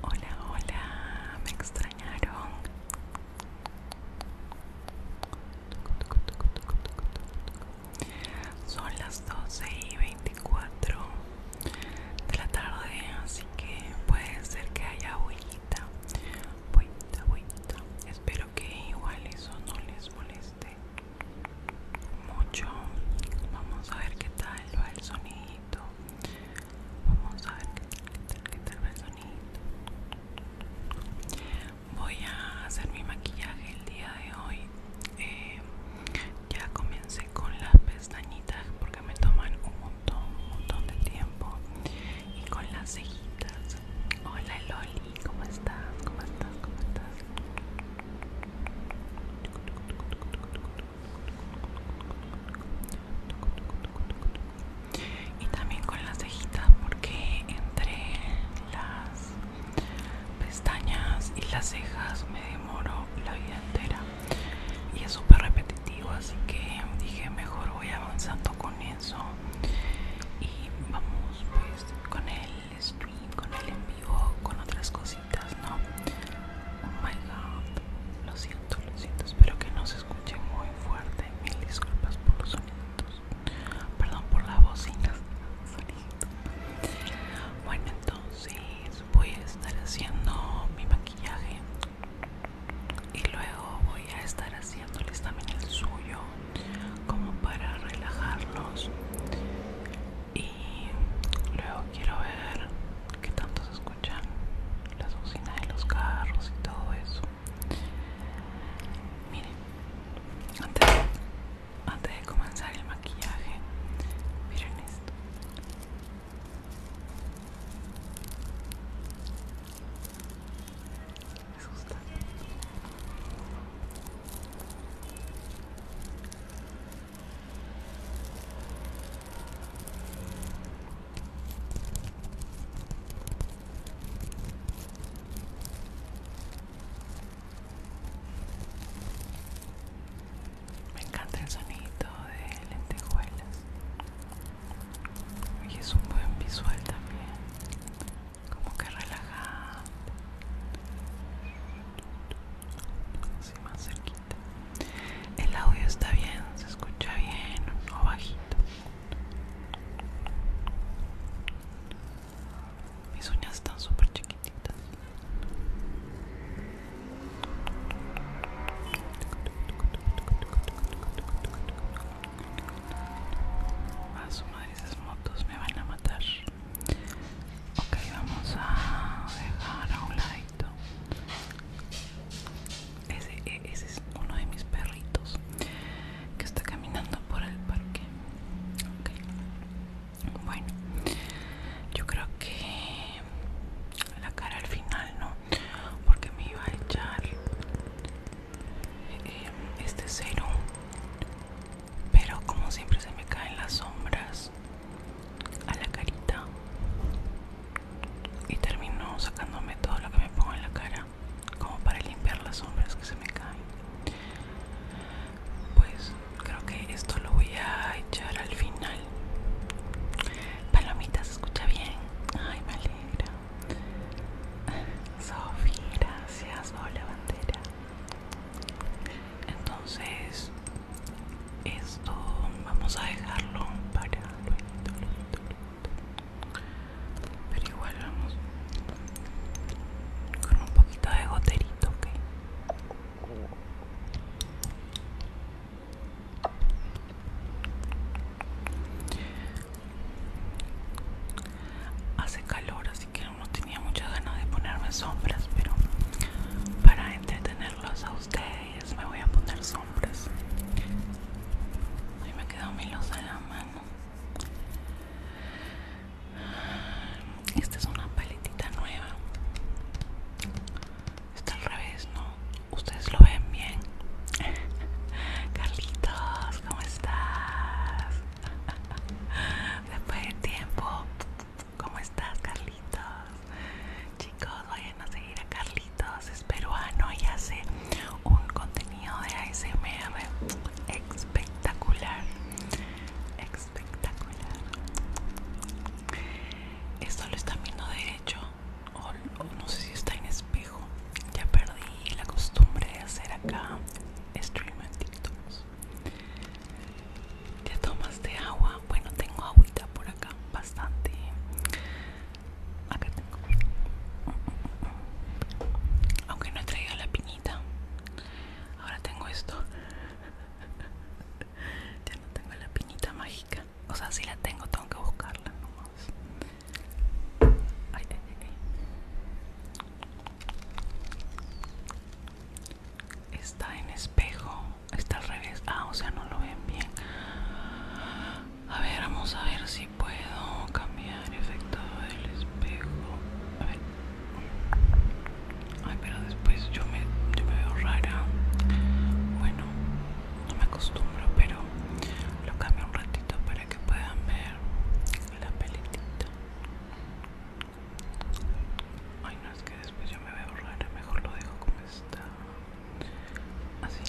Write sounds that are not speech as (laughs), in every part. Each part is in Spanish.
Hola, hola, me extrañaron. Son las 12 y 24 de la tarde, así que puede ser que haya huellita. Espero que igual eso no les moleste mucho. Vamos a ver qué tal va el sonido. Vamos a ver qué tal, qué tal va el sonido. Voy a hacer mi maquillaje el día de hoy. Eh, ya comencé con las pestañitas porque me toman un montón, un montón de tiempo. Y con las cejitas. Hola Loli, ¿cómo estás? ¿Cómo estás? ¿Cómo estás? y también con las cejitas porque entre las pestañas y las cejas me demoro la vida entera y es súper repetitivo así que dije mejor voy avanzando con eso y vamos pues con el stream con el en vivo con otras cositas ¿no? Oh my god, lo siento, lo siento, espero que no se escuche muy fuerte. Mil disculpas por los sonidos, perdón por la bocinas. Bueno, entonces voy a estar haciendo mi maquillaje y luego voy a estar haciéndoles también el suyo como para relajarlos y y luego quiero ver qué tanto se escuchan las bocinas de los carros y todo eso miren antes, de comenzar el maquillaje miren esto me me encanta el sonido de lentejuelas. Y es un buen visual también. Como que relajante. Así más cerquita. El audio está bien, se escucha bien o bajito. Mis uñas están súper chiquititas. A su madre esas motos me van a matar. Ok, vamos a dejar a un lado e, ese, es uno de mis perritos que está caminando por el parque. Bueno, yo creo que la cara al final no, porque me iba a echar eh, este cero, pero como siempre se me caen las sombras a la carita y termino sacándome todo lo que me pongo en la cara como para limpiar las sombras que se me caen pues creo que esto lo voy a echar al final palomita se escucha bien ay me alegra Sofi gracias hola bandera entonces esto vamos a dejarlo para luego, pero igual vamos con un poquito de goterito, Hace calor, así que no tenía muchas ganas de ponerme sombras, pero para entretenerlos a ustedes me voy a poner sombras ahí me quedó mi luz en la mano esta es una paletita nueva está al revés no ustedes lo ven bien (laughs) Carlitos cómo estás (laughs) después de tiempo ¿Cómo estás, Carlitos? Chicos, vayan a seguir a Carlitos, es peruano y hace un contenido de ASMR espectacular. Espectacular. Esto lo están viendo derecho, o, no sé si está en espejo. Ya perdí la costumbre de hacer acá stream en TikToks. ¿Ya tomaste agua? Bueno, tengo agüita por acá, bastante. Acá tengo. Aunque no he traído la piñita. Ahora tengo esto. (laughs) ya no tengo la piñita mágica. O sea, si la tengo, tengo que buscarla nomás. Está en espejo está al revés. Ah, o sea, no lo ven bien. A ver, vamos a ver si puedo cambiar el efecto del espejo. A ver. Ay, pero después yo me, yo me veo rara. Bueno, no me acostumbro, pero lo cambio un ratito para que puedan ver la pelitita. Ay, no, es que después yo me veo rara. Mejor lo dejo como está. Así.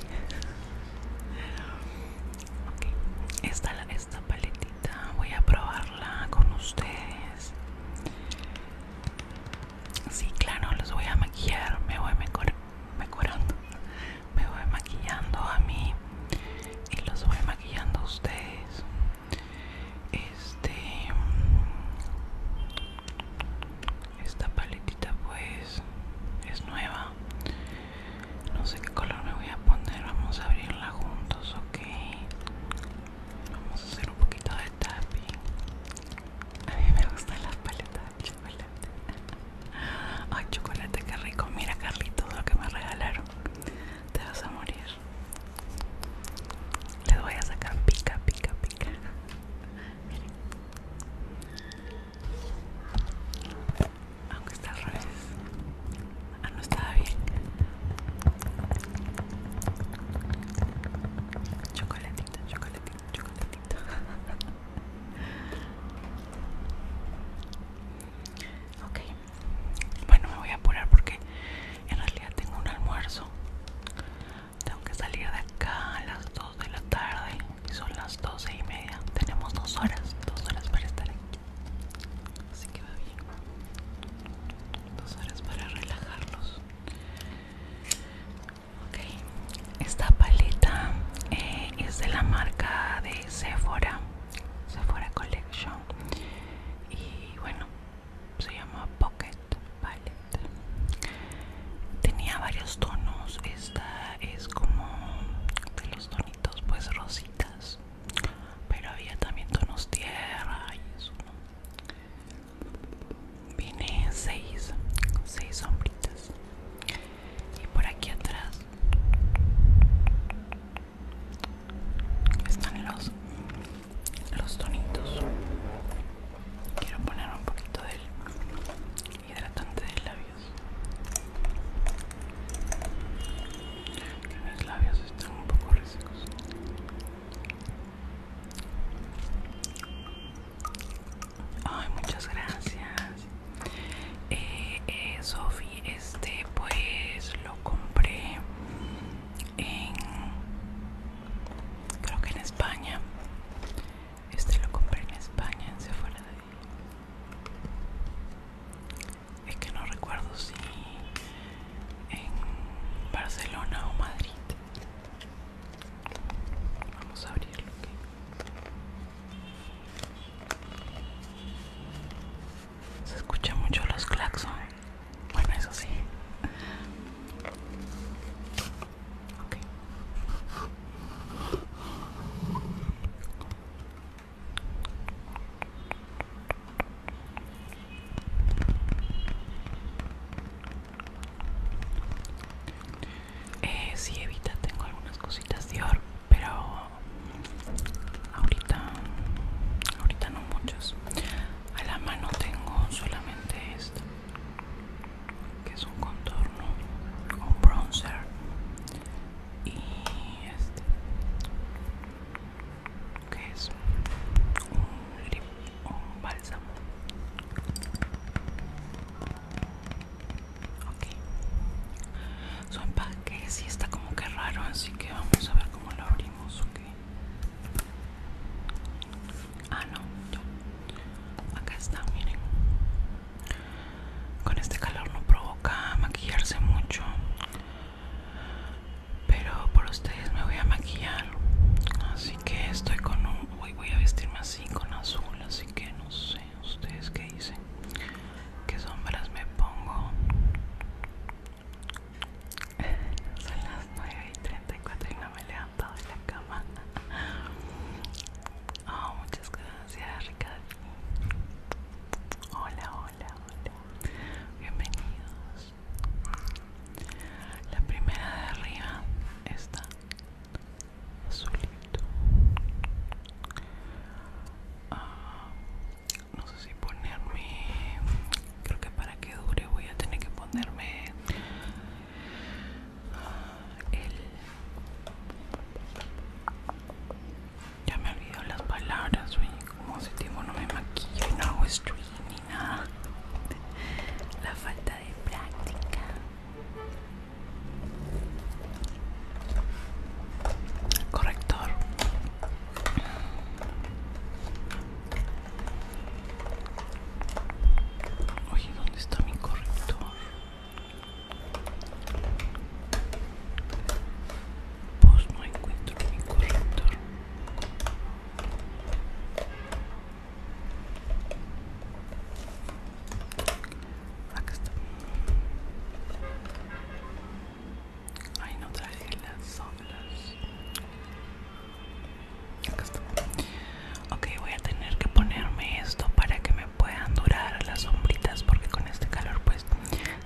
Esta, esta paletita voy a probarla con ustedes. Sí, claro, los voy a maquillar. Me voy mejorando. Me voy maquillando a mí y los voy maquillando a ustedes. Este. Esta paletita pues es nueva. No sé qué color me voy a poner. Vamos a abrirla juntos, ok. Vamos a hacer un poquito de tapping. A mí me gustan las paletas de chocolate. (laughs) Ay, chocolate, qué rico. Mira, Carlitos, lo que me regalaron. Te vas a morir. Les voy a sacar pica, pica, pica. (laughs) Miren. Aunque está al revés. Ah, no estaba bien. Chocolatito, chocolatito, chocolatito. (laughs) ok. Bueno, me voy a apurar porque en realidad tengo un almuerzo tengo que salir de acá a las 2 de la tarde y son las 12 y media. Tenemos dos horas, dos horas para estar aquí. Así que va bien. Dos horas para relajarlos Ok, esta palita eh, es de la marca de Sephora, Sephora Collection. Y bueno, se llama Pocket tenía varios tonos esta es como de los tonitos pues rositas pero había también tonos tierra y eso viene en seis seis sombritas y por aquí atrás están los los tonitos Quiero poner un poquito del hidratante de labios. Que mis labios están un poco resecos. Ay, muchas gracias. Eh, eh, Sophie, este pues lo compré en creo que en España este lo compré en España, en Sephora de es que no recuerdo si en Barcelona o Madrid. Vamos a abrirlo. Se escuchan mucho los claxons. Bueno, eso sí. Eh, si sí, evita, tengo algunas cositas de oro pero ahorita, ahorita no muchas. A la mano tengo solamente esto que es un contorno un bronzer y este que es un lip un bálsamo ok su empaque Si está como que raro así que vamos a ver cómo lo abrimos ok Ah, no, Acá está, miren. Con este calor no provoca maquillarse mucho. Pero por ustedes me voy a maquillar. Así que estoy con un... Voy, voy a vestirme así, con azul. Así que no sé, ustedes qué dicen. ¿Qué sombras me pongo? (laughs) 9 y 34 y no me he levantado de la cama. (laughs) Oh, muchas gracias, Ricardo. Hola, hola, hola. Bienvenidos. La primera de arriba está azulito. Ah, no sé si ponerme. Creo que para que dure voy a tener que ponerme ya me olvidó las palabras como si tengo no me maquillo no hago stream ni nada la falta de práctica corrector Oye, ¿dónde está mi corrector? Pues no encuentro mi corrector. Acá está. Hay no traje las sombras. Ok, voy a tener que ponerme esto para que me puedan durar las sombritas porque con este calor pues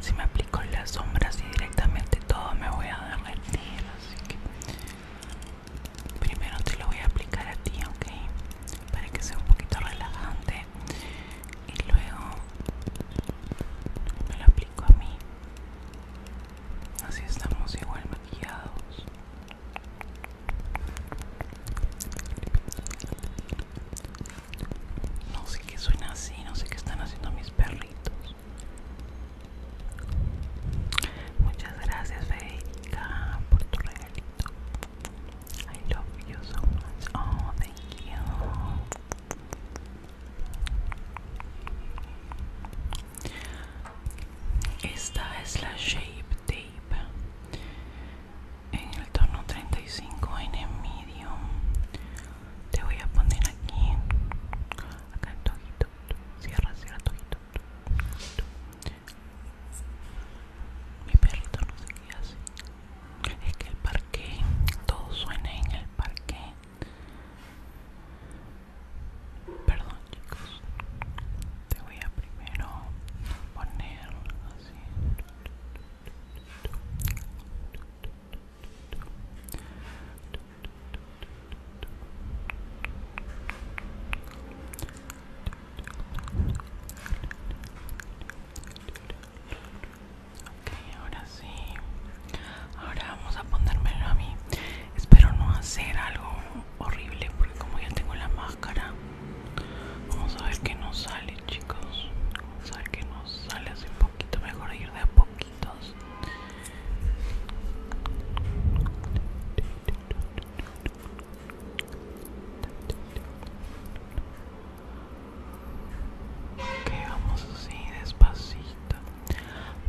si me aplico las sombras y directamente todo me voy a derretir así que primero te lo voy a aplicar a ti ok para que sea un poquito relajante y luego me lo aplico a mí así estamos igual maquillados no sé qué suena así, no sé qué están haciendo mis perritos. Muchas gracias, Federica por tu regalito. I love you so much. Oh, thank you. Esta es la shape Day en el tono 35 en el medio te voy a poner aquí acá el tojito cierra cierra tojito mi perrito no sé así es que el parque todo suena en el parque perdón chicos te voy a primero poner así Ok, ahora sí. Ahora vamos a ponérmelo a mí. Espero no hacer algo horrible porque como ya tengo la máscara, vamos a ver qué nos sale, chicos. Vamos a ver qué nos sale hace un poquito mejor ir de a poquitos. Ok, vamos así, despacito.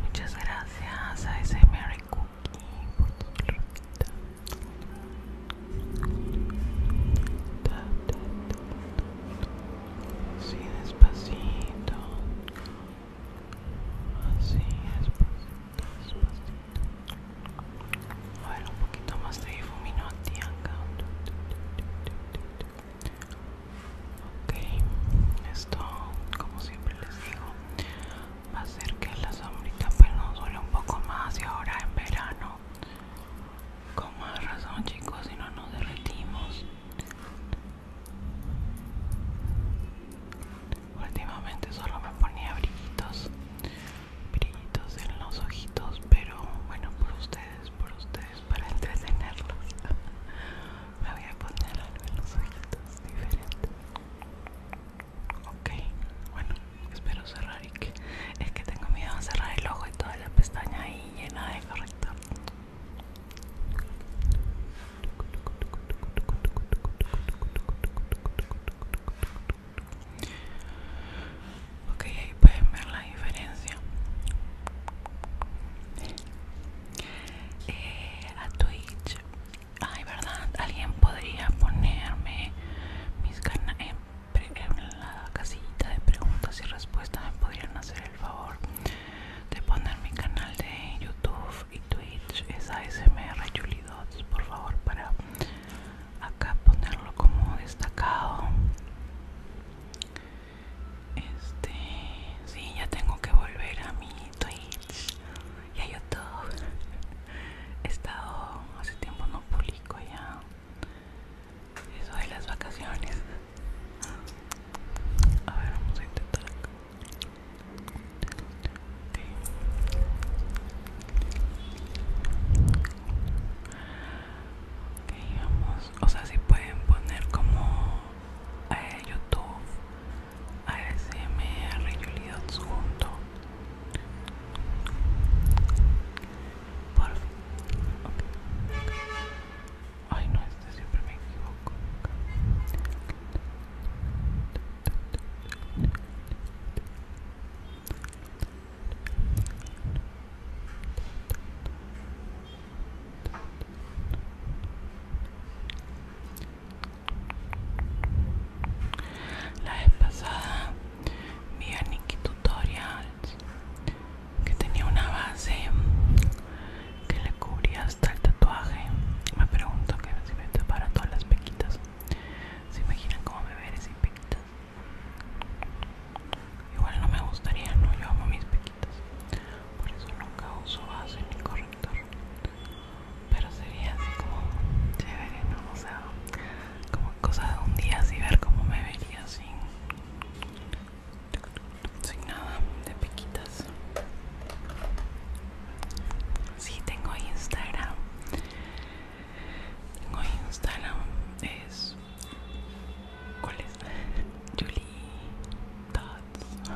Muchas gracias a ese SMR por Así despacito. Así despacito, despacito. A un poquito más de ti acá. Ok, esto como siempre les digo que la sombrita pues nos duele un poco más y ahora en verano con más razón chicos si no nos derretimos últimamente solo me ponía brillitos brillitos en los ojitos pero bueno por ustedes por ustedes para entretenerlos (laughs) me voy a poner algo en los ojitos Ok, bueno, espero cerrar y que... Es que tengo miedo a cerrar el ojo y toda la pestaña ahí llena de corrector. Ok, ahí pueden ver la diferencia. Eh, a Twitch Ay, ¿verdad? Alguien podría ponerme mis eh, en, la casillita de preguntas y respuestas. Me podrían hacer el favor de poner mi canal de YouTube y Twitch. Es ASMR Dots, por favor, para acá ponerlo como destacado. Este, sí, ya tengo que volver a mi Twitch y a YouTube. He estado hace tiempo no publico ya eso de las vacaciones. A ver, vamos a intentar acá. ok, vamos. O sea, si pueden poner como a eh, YouTube ASMR Julie Dots junto por fin ay no este siempre me equivoco la vez pasada vi a Nikki Tutorials que tenía una base que le cubría hasta el tatuaje. Me pregunto qué si me para todas las pequitas. ¿Se imaginan cómo me veré sin pequitas? Igual no me gustaría, no, yo amo mis pequitas. Por eso nunca uso base ni corrector pero sería así como chévere, ¿no? O sea, como cosa de un día así ver cómo me vería sin, sin nada de piquitas. Sí, tengo Instagram. Tengo Instagram, es. ¿Cuál es? (laughs) Julie Tots.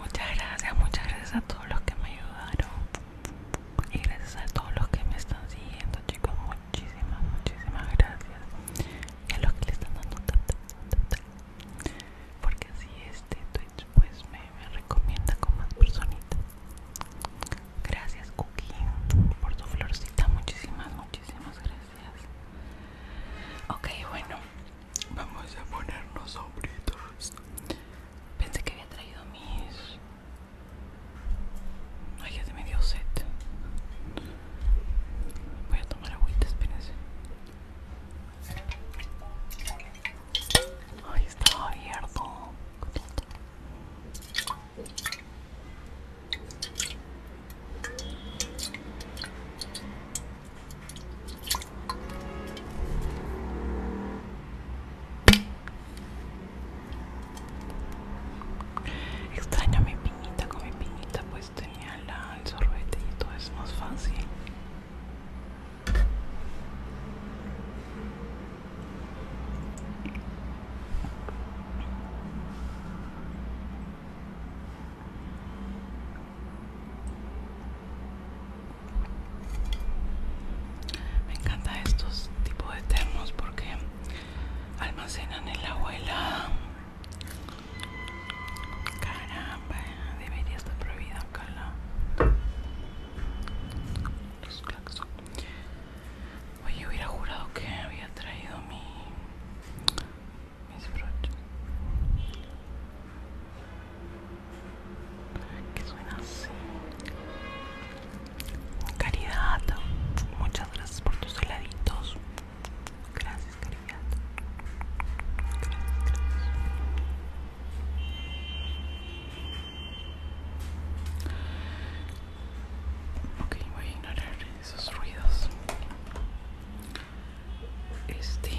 Muchas gracias, muchas gracias a todos los que me ayudaron y gracias a todos los que me están siguiendo, chicos. Muchísimas, muchísimas gracias. Y a los que le están dando tanto, ta porque así este Twitch pues me, recomienda con más personitas gracias Cookie por tu florcita muchísimas muchísimas gracias ok bueno vamos a ponernos sombritos pensé que había traído mis ay ya se me dio set voy a tomar agüita espérense Ay, estaba abierto. Extraño mi piñita con mi piñita, pues tenía el sorbete y todo es más fácil. Me encanta estos tipos de termos porque almacenan el agua helada Caramba, debería estar prohibida cala. Oye, hubiera jurado que había traído mi mis broches. Que suena así. Caridad, muchas gracias por tus heladitos. Gracias ok voy a ignorar esos ruidos este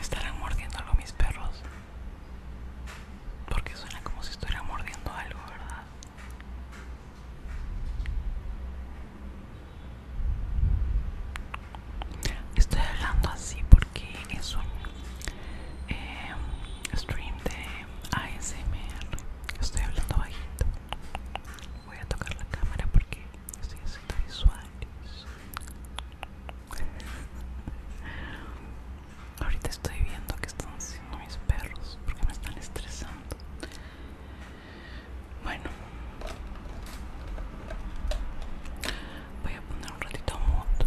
¿Estarán mordiendo algo mis perros? Porque suena como si estuviera mordiendo algo, ¿verdad? Estoy hablando así porque es un eh, stream de ASMR. Estoy hablando bajito. Voy a tocar la cámara porque estoy haciendo visuales. Ahorita estoy viendo que están haciendo mis perros porque me están estresando. Bueno, voy a poner un ratito a moto.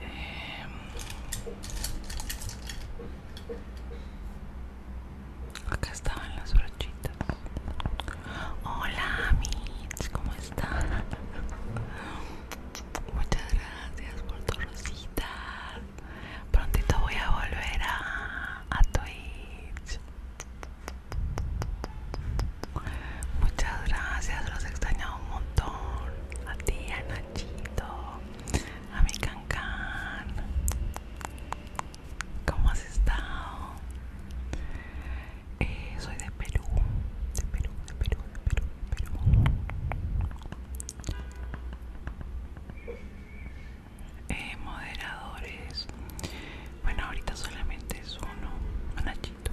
Eh, acá estaban las brochitas. Hola, Mitch, ¿cómo están Muchas gracias por tu rosita. Prontito voy a volver a, a Twitch. Muchas gracias, los he extrañado un montón. A ti, a Nachito, a mi Cancan. ¿Cómo has estado? Eh, soy de Perú, de Perú, de Perú, de Perú, de Perú. Eh, moderadores. Bueno, ahorita solamente es uno, un hachito.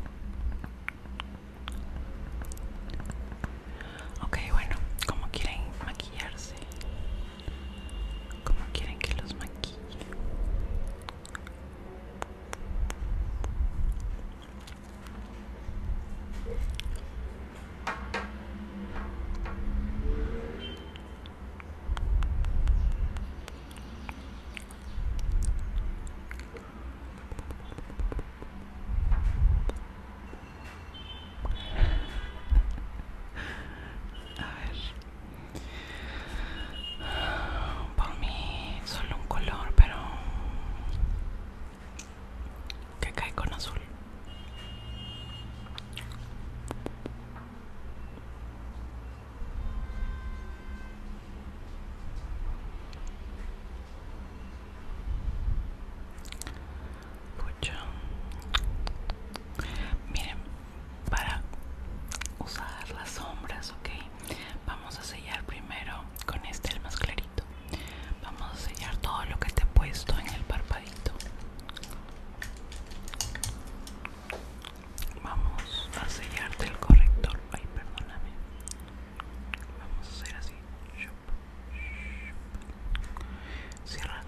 Ok, bueno, como quieren maquillarse, como quieren que los maquille. A ver. Por mí solo un color, pero que cae con azul. Miren, para usar las sombras, ok, vamos a sellar primero con este, el más clarito. Vamos a sellar todo lo que te he puesto en el parpadito. Vamos a sellarte el corrector. Ay, perdóname. Vamos a hacer así. Cierra.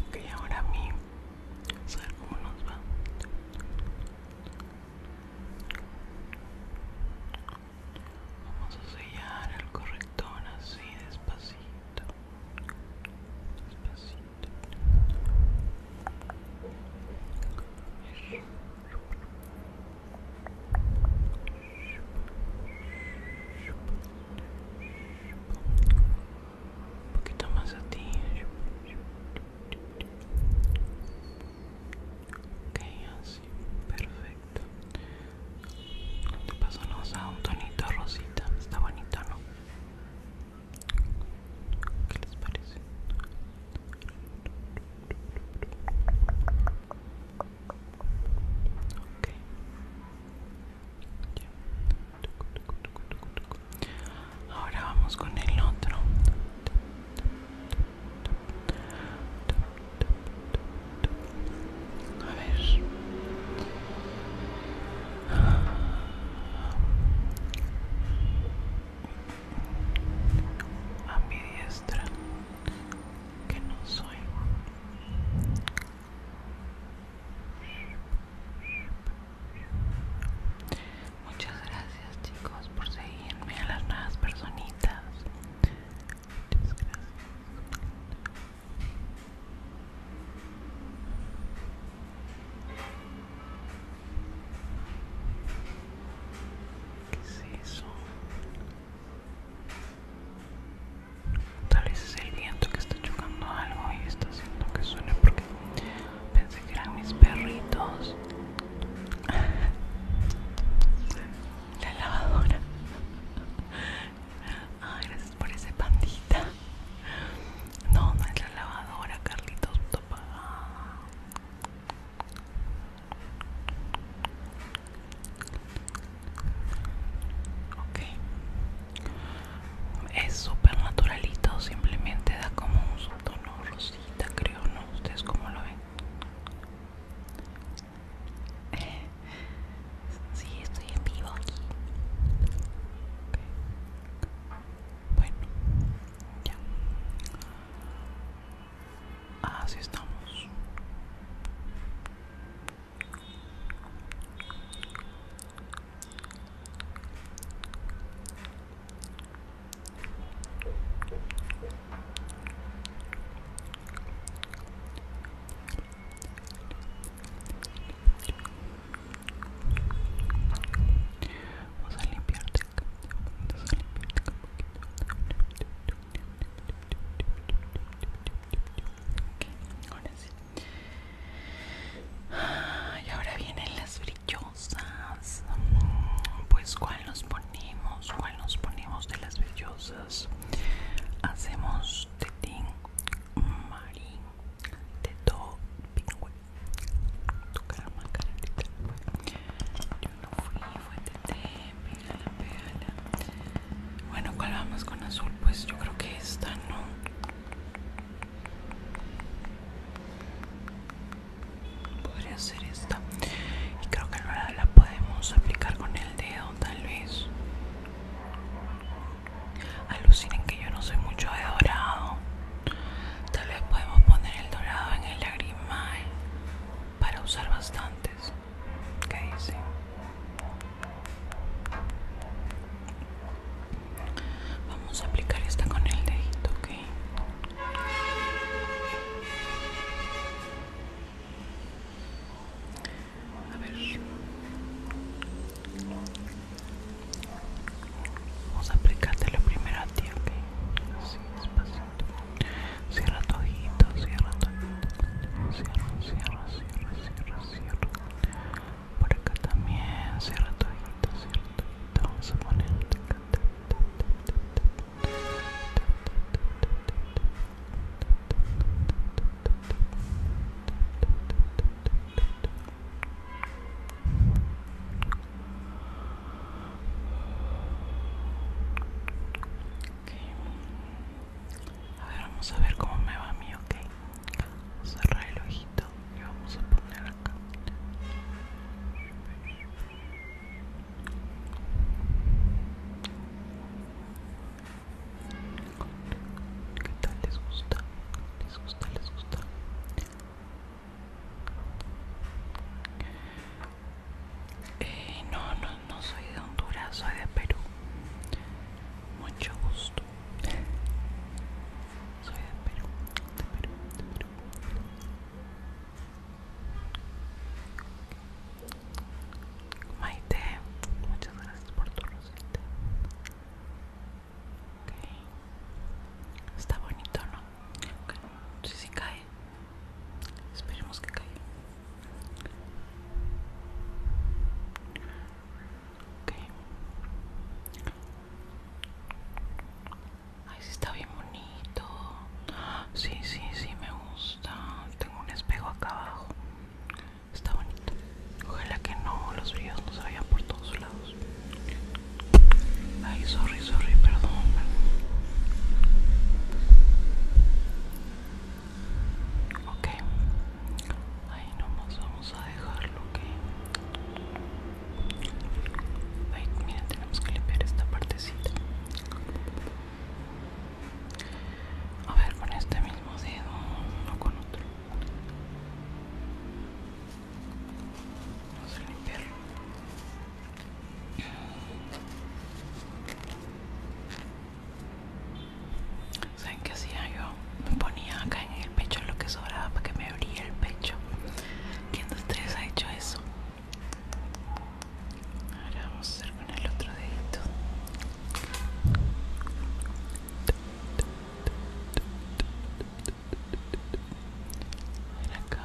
Ok, ahora a mí. a ver cómo nos va. Vamos a sellar el corrector así despacito. Despacito. Un poquito más a ti. Ok, así, perfecto. Te paso a un tonito rosita, está bonito, ¿no? ¿Qué les parece? Ahora vamos con el otro. A ver. A mi diestra, que no soy. Muchas gracias chicos por seguirme a las nuevas personitas. Muchas gracias. ¿Qué es eso? Tal vez es el viento que está chocando algo y está haciendo que suene porque pensé que eran mis perritos. (laughs) la lavadora. Ah, gracias por ese pandita. No, no es la lavadora, Carlitos. Ok. Es súper naturalito, simplemente da como un subtono rosita, creo, ¿no? ¿Ustedes cómo lo ven? Sí, estoy en vivo aquí. Bueno, ya. Así estamos. Vamos a limpiarte acá. Vamos a limpiarte acá un Ok, ahora sí. y ahora vienen las brillosas. Pues, ¿cuál nos ponemos? ¿Cuál nos ponemos de las brillosas? hacemos hacemos tetín marín tetó, todo pingüe tu calma carita yo no fui fue teté pégala pégala bueno cuál vamos con azul pues yo creo que esta no podría esta y creo que ahora la podemos aplicar con el dedo tal vez alucinen que yo no soy mucho de dorado tal vez podemos poner el dorado en el lagrimal para usar bastantes ¿Qué dice? Vamos a aplicar esta con el dedito, ¿ok? A ver. Vamos a aplicarte la primera tierra. Así, despacito. Cierra tu ojito, cierra tu ojito. Cierra, cierra, cierra, cierra, cierra. Por acá también, cierra tu ojito, cierra Vamos a ponerte a ver, vamos a ver cómo me va a mí, ok. Cerrar el ojito y vamos a poner acá. ¿Qué tal les gusta? ¿Les gusta? ¿Les gusta? Eh, no, no, no soy de Honduras, soy de Perú. Mucho gusto. Soy de Perú, de Perú, de Perú. Maite, muchas gracias por tu rosita. Está bonito, ¿no? Okay. Si sí, cae, esperemos que caiga. Ay, sí está bien bonito. Sí, sí, sí, me gusta tengo un espejo acá abajo está bonito ojalá que no los videos no se vayan por todos lados ay sorry sorry perdón ok ahí nomás vamos a dejarlo que okay. tenemos que limpiar esta partecita. A ver, con este mismo dedo, no con otro. Vamos a limpiar. ¿Saben qué hacía yo? Me ponía acá en el pecho lo que sobraba para que me abría el pecho. ¿Quién de ustedes ha hecho eso? Ahora vamos a hacer con el otro dedito. Acá Acá,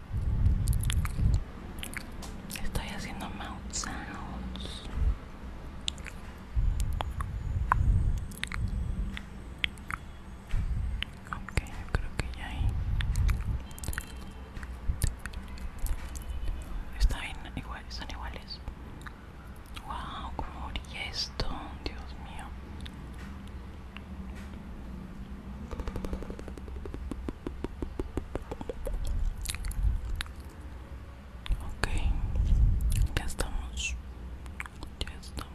Estoy haciendo mouth sounds. creo que ya ahí. Está bien, igual, son iguales. Wow, cómo brilla esto, Dios mío. Ok, ya estamos. Ya estamos.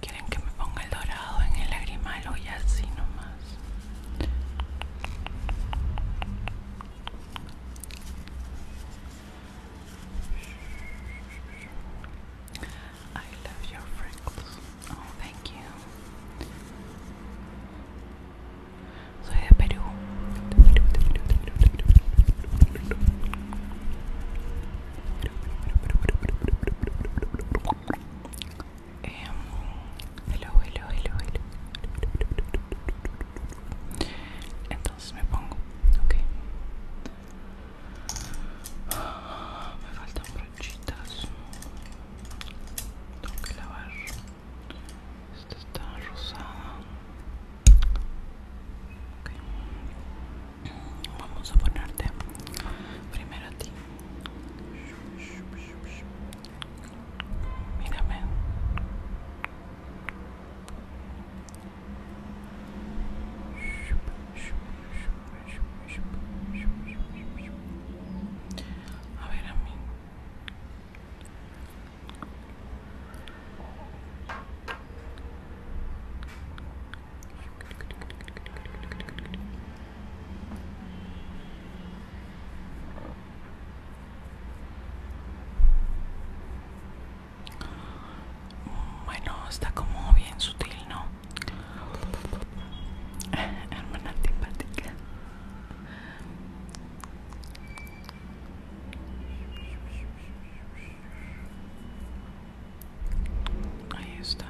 Quieren que me ponga el dorado en el lagrimal o ya así nomás. I love your freckles. Oh, thank you. Soy de Perú. Em, hello, Entonces me pongo, ok. Me faltan brochitas. Tengo que lavar. Esta está rosada. Vamos a ponerte primero a ti. Mírame. A ver a mí. Bueno, está como bien sutil, ¿no? (laughs) Hermana antipática. Ahí está.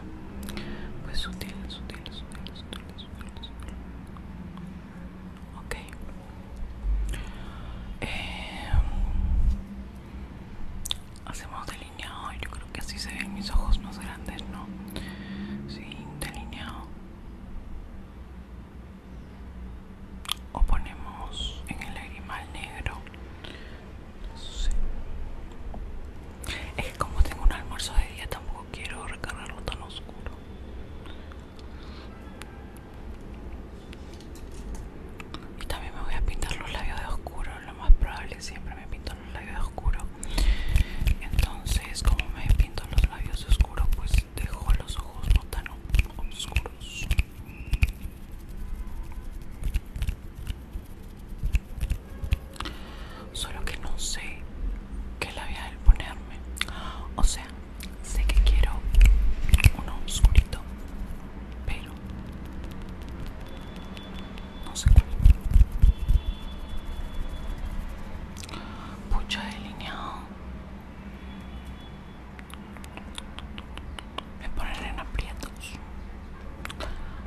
Pues sutil, sutil, sutil, sutil, sutil, sutil. Ok. Eh, hacemos delineado. Yo creo que así se ven mis ojos más grandes, ¿no? Sí, delineado. O ponemos en el lagrimal negro es que como tengo un almuerzo de día tampoco quiero recargarlo tan oscuro. Y también me voy a pintar los labios de oscuro, lo más probable siempre me pinto los labios de oscuro. Entonces, como me pinto los labios de oscuro, pues dejo los ojos no tan oscuros. Solo que no sé qué a ponerme. O sea, sé que quiero uno oscurito, pero no sé cuál. Pucha delineado. Me poner en aprietos.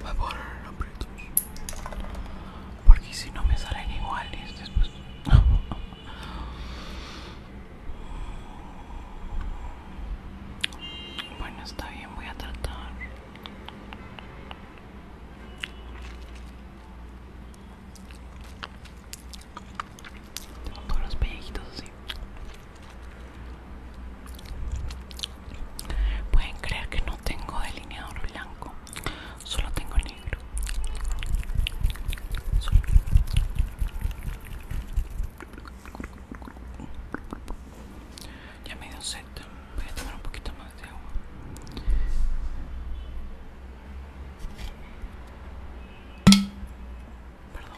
Me poner en aprietos. Porque si no me salen iguales después. (laughs) bueno, está bien, voy a tratar. Tengo todos los pellejitos así. Pueden creer que no tengo delineador blanco, solo tengo negro. Ya me dio set, voy a tomar un poquito más de agua. Perdón.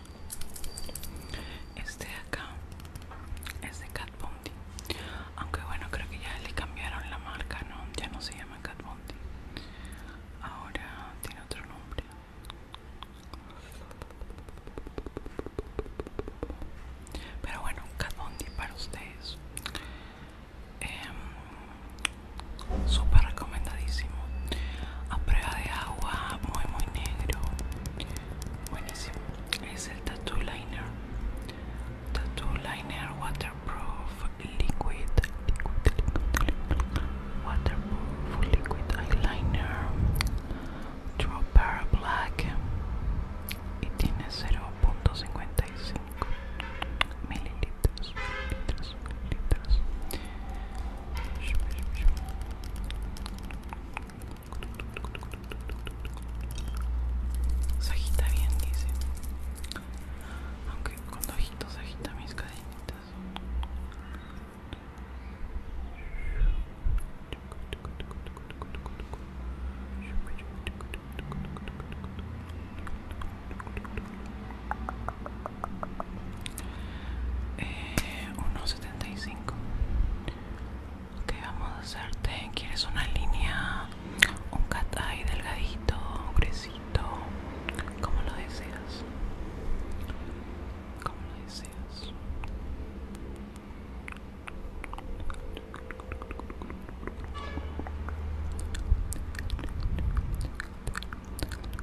Este de acá es de Cat Aunque bueno, creo que ya le cambiaron la marca, ¿no? Ya no se llama Cat Ahora tiene otro nombre. Pero bueno, Cat para ustedes. Em, súper recomendadísimo a prueba de agua muy muy negro buenísimo es el tattoo liner tattoo liner waterproof liquid liquid liquid waterproof liquid eyeliner dropper black y tiene 0.55 mililitros, mililitros, mililitros se agita bien, dice. Aunque con ojitos se mis cadenitas. 1.75 eh, ok vamos a hacerte quieres una línea un cat delgadito un como lo deseas como lo deseas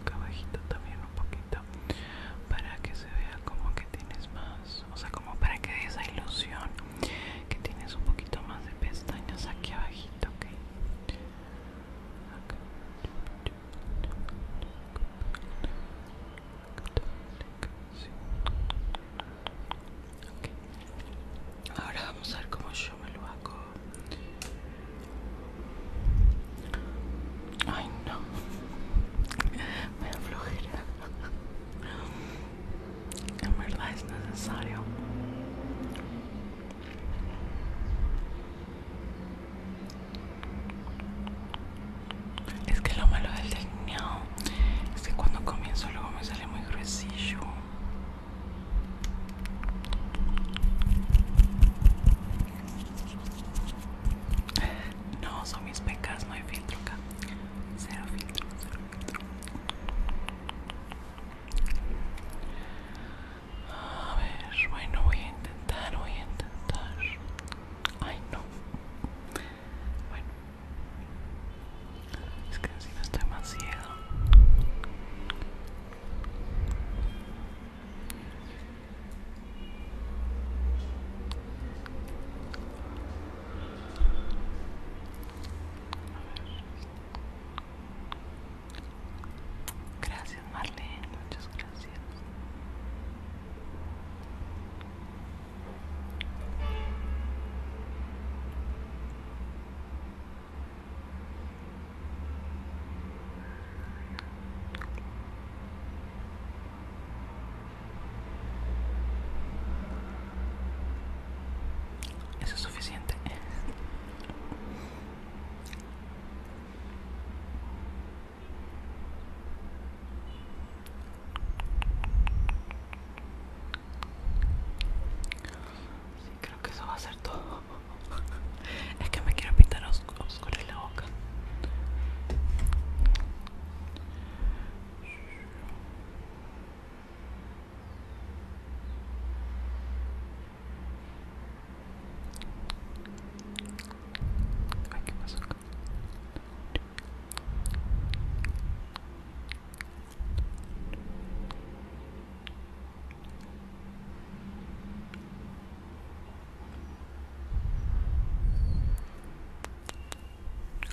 acá abajito también un poquito para que se vea como que tienes más o sea como para que dé esa ilusión que tienes un poquito más de pestañas aquí abajito ok Ahora vamos a ver cómo yo me lo hago. Ay no, me flojera. En verdad es necesario. Es que lo malo del delineado es que cuando comienzo luego me sale muy gruesillo. No, son mis pecas, no hay filtro acá. Cero filtro, cero filtro. A ver, bueno, voy a intentar, voy a intentar. Ay, no. Bueno, es que así no estoy más Gracias Marlene, muchas gracias. Eso es suficiente. Sí, creo que eso va a ser todo. (laughs) es que me quiero pintar oscuro en la boca. ¿qué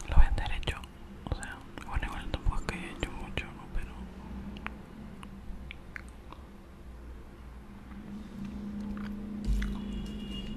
lo voy a o sea, bueno igual tampoco es que he hecho mucho, ¿no? Pero...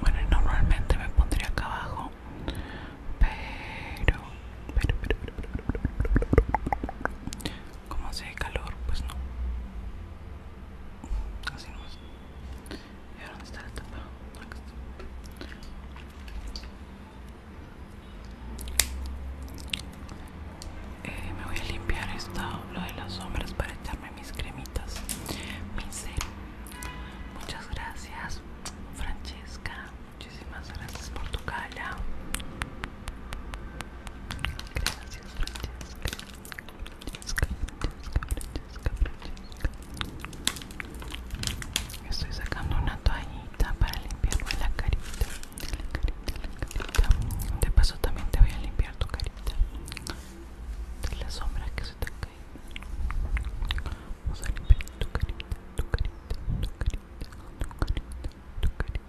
Bueno, normalmente me pondría acá abajo, pero como hace calor, pues no. Así ¿Y ahora dónde está la tapa? Eh, me voy a limpiar esto, lo de las sombras para echarme mis cremitas. Mi Muchas gracias, Francesca. Muchísimas gracias por tu cala. Gracias, Estoy sacando una toallita para limpiarme la carita. De paso también te voy a limpiar tu carita. De las sombras que se te caen. Vamos a limpiar tu carita, tu carita, tu carita, tu carita, tu carita.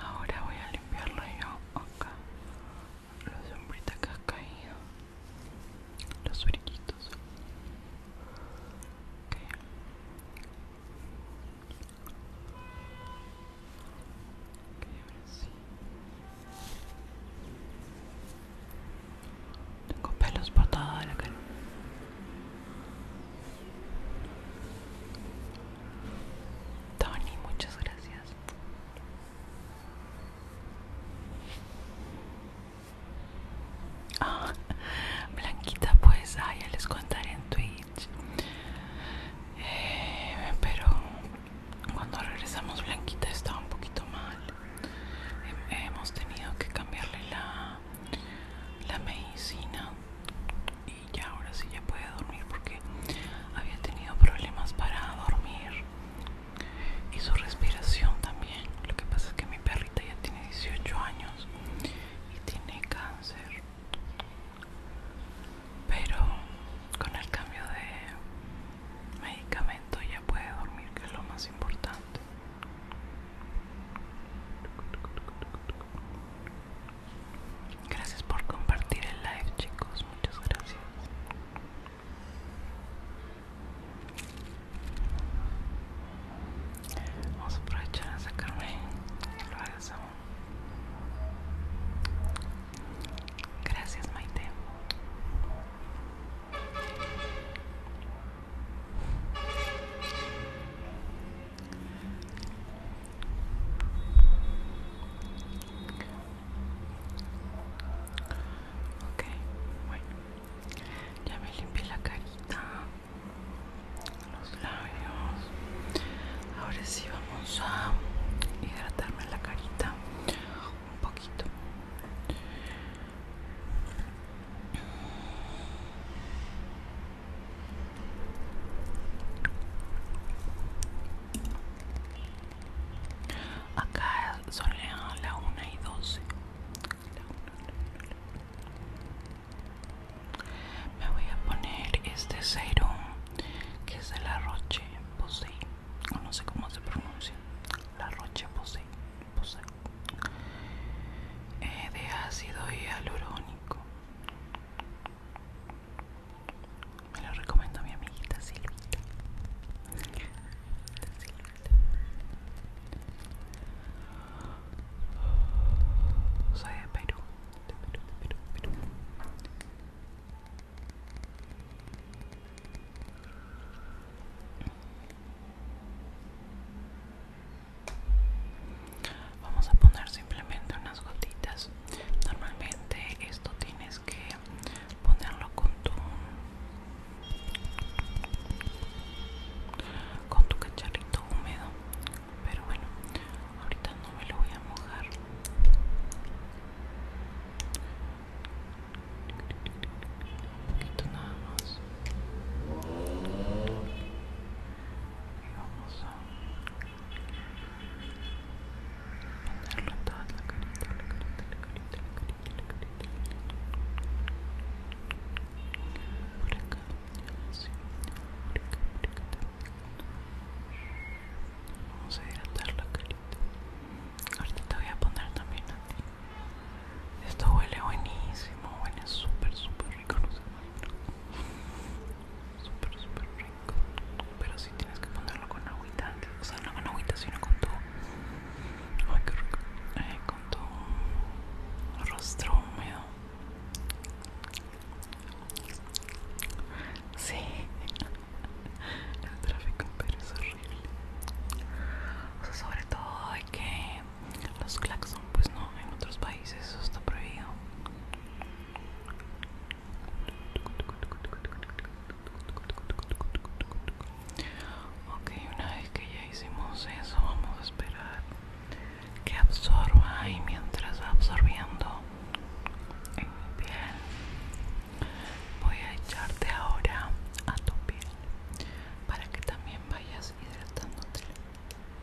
Ahora voy a limpiarlo yo acá. Los sombritas que ha caído. Los brillitos. ahora sí. Tengo pelos por toda la cara. Tony, muchas gracias. Ah, Blanquita, pues, ah, ya les contaré en Twitch. Eh, pero cuando regresamos, Blanquita estaba un poquito mal. hemos tenido que cambiarle la, la medicina y ya ahora sí ya puede dormir porque había tenido problemas para dormir y su respiración también lo que pasa es que mi perrita ya tiene 18 años y tiene cáncer pero con el cambio de medicamento ya puede dormir que es lo más importante Gracias por compartir el live, chicos. Muchas gracias. Vamos a aprovechar a sacarme lo hagas Gracias, Maite. Ok, bueno, ya me limpié la carita, los labios. Ahora sí vamos a hidratarme la carita un poquito. Acá son las 1 y 12. Me voy a poner este serum que es de la Roche Posay. No sé cómo se pronuncia. La Roche Posay. Posay. Eh, de ácido hialurónico. Me lo a mi amiguita Silvita. Soy de Vamos a poner simplemente unas gotitas. Normalmente esto tienes que ponerlo con tu con tu cacharrito húmedo, pero bueno, ahorita no me lo voy a mojar. Un poquito nada más vamos a ponerlo en toda la carita, la carita, la carita, la carita, la carita, Por acá, por acá, por acá Vamos a hidratar la carita. Ahorita te voy a poner también a Esto huele buenísimo, huele súper, súper rico, no Súper, súper rico. Pero si sí tienes que ponerlo con agüita. O sea, no con agüita, sino con tu... Ay, qué rico. Eh, con tu rostro húmedo. Sí. El tráfico en es horrible. O sea, sobre todo hay que los claxon pues no en otros países eso está prohibido ok una vez que ya hicimos eso vamos a esperar que absorba y mientras va absorbiendo en mi piel voy a echarte ahora a tu piel para que también vayas hidratándote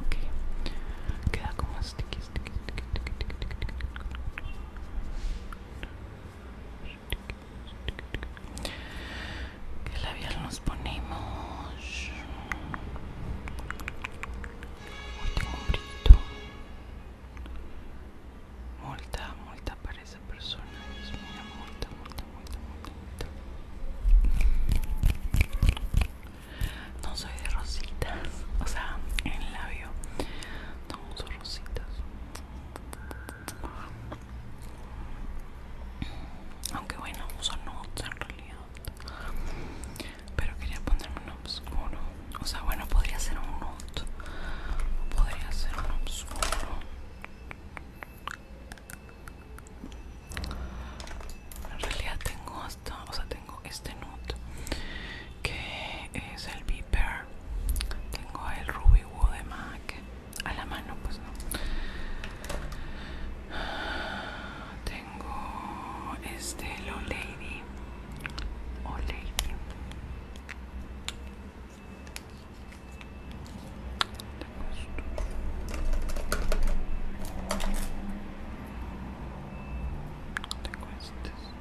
Ok, queda como sticky, sticky, sticky, sticky, sticky, sticky. sticky, ¿Qué labial nos ponemos? Muy tengo Multa, multa para esa persona. Dios mío, multa, multa, multa, multa, multa. No soy de rositas, o sea, en el labio no uso rositas. Aunque bueno, uso nudes en realidad. Pero quería ponerme un oscuro. O sea, bueno, podría ser un nude. Podría ser un oscuro. En realidad tengo hasta, o sea, tengo este nude que es el Beeper Tengo el Ruby Woo de MAC a la mano, pues no. Tengo este low Lady. Lady. Tengo estos.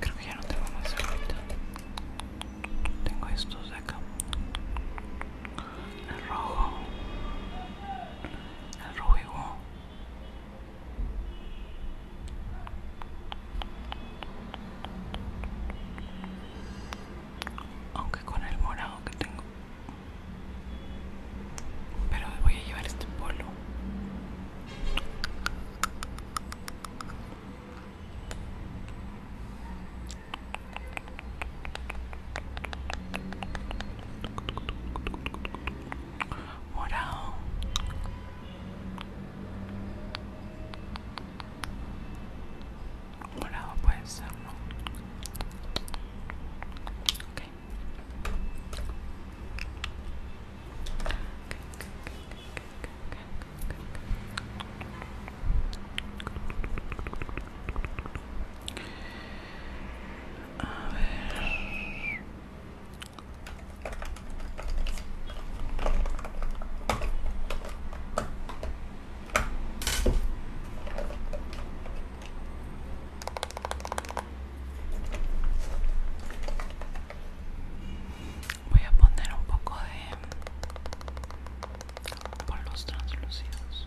Creo que ya no tengo más ahorita. Tengo estos de acá. El rojo. El rojo. Aunque con el morado que tengo. Pero voy a llevar este polo. Morado morado puede okay. a ver Voy a poner un poco de por los translúcidos.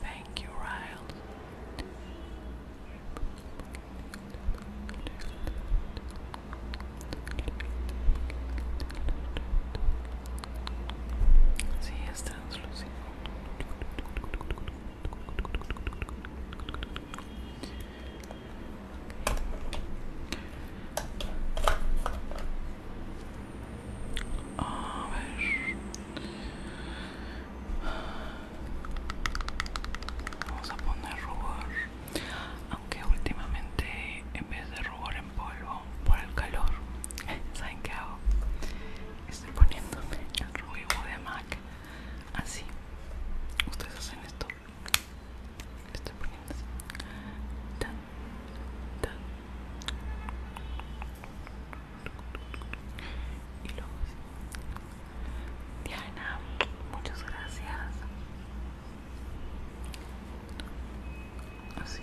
Thank you, Ryle. Sí, es A ver, vamos a poner rubor, aunque últimamente en vez de rubor polvo por el calor (laughs) ¿saben qué hago? estoy poniéndome el rubio de MAC así ustedes hacen esto estoy poniendo así tan y luego así. Diana, muchas gracias. Así.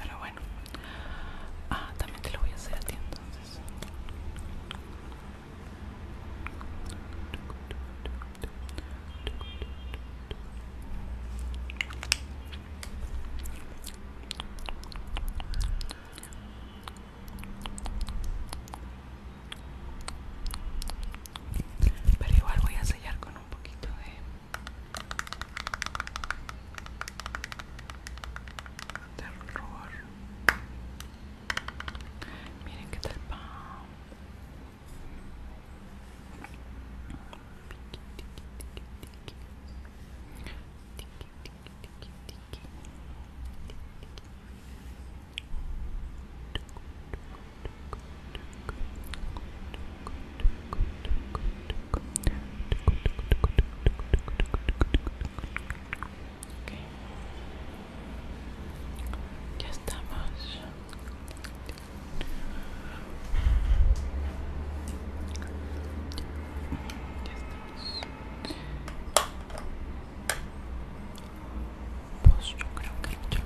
Pero bueno. Ah, también te lo voy a hacer a ti entonces. Pero igual voy a sellar con un poquito de, Terror Miren qué tal Okay. Ya estamos. Ya estamos pues yo creo que yo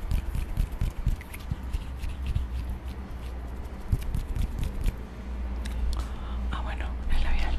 ah bueno el labial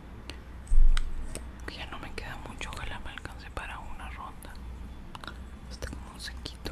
ya no me queda mucho ojalá me alcance para una ronda está como un sequito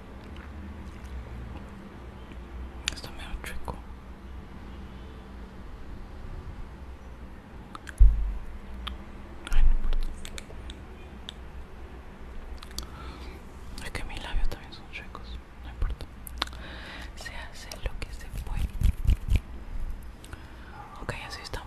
Está me chueco. Ay, no Es que mis labios también son chuecos. No importa. Se hace lo que se puede. Ok, así estamos.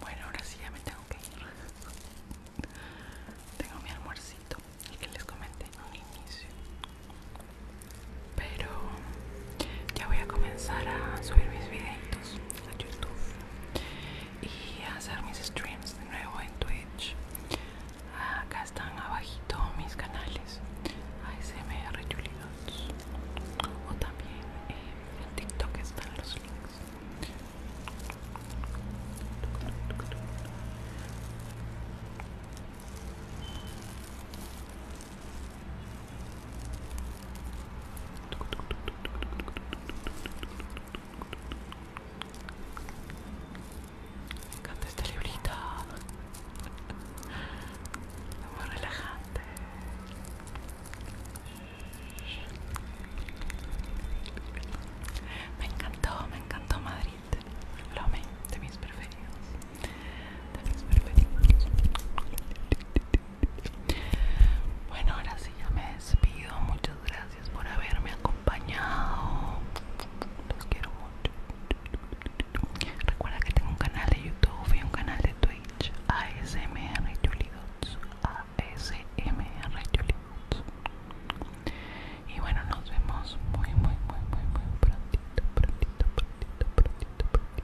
Bueno, ahora sí ya me tengo que ir. tengo mi almuercito, y que les comenté en un inicio pero ya voy a comenzar a subir mis videitos a YouTube y a hacer mis streams de nuevo en Twitch. Acá están abajito mis canales ASMR Julius o también en TikTok están los links. Me encanta este librito. Muy relajante. Me encantó, me encantó Madrid. Lo me, de mis preferidos. De mis preferidos. Bueno, ahora sí ya me despido. Muchas gracias por haberme acompañado. Los quiero mucho. Recuerda que tengo un canal de YouTube y un canal de Twitch. ASMR Julidots. ASMR Julidots. Y bueno, nos vemos muy, muy, muy, muy, muy prontito, prontito, prontito, prontito, prontito.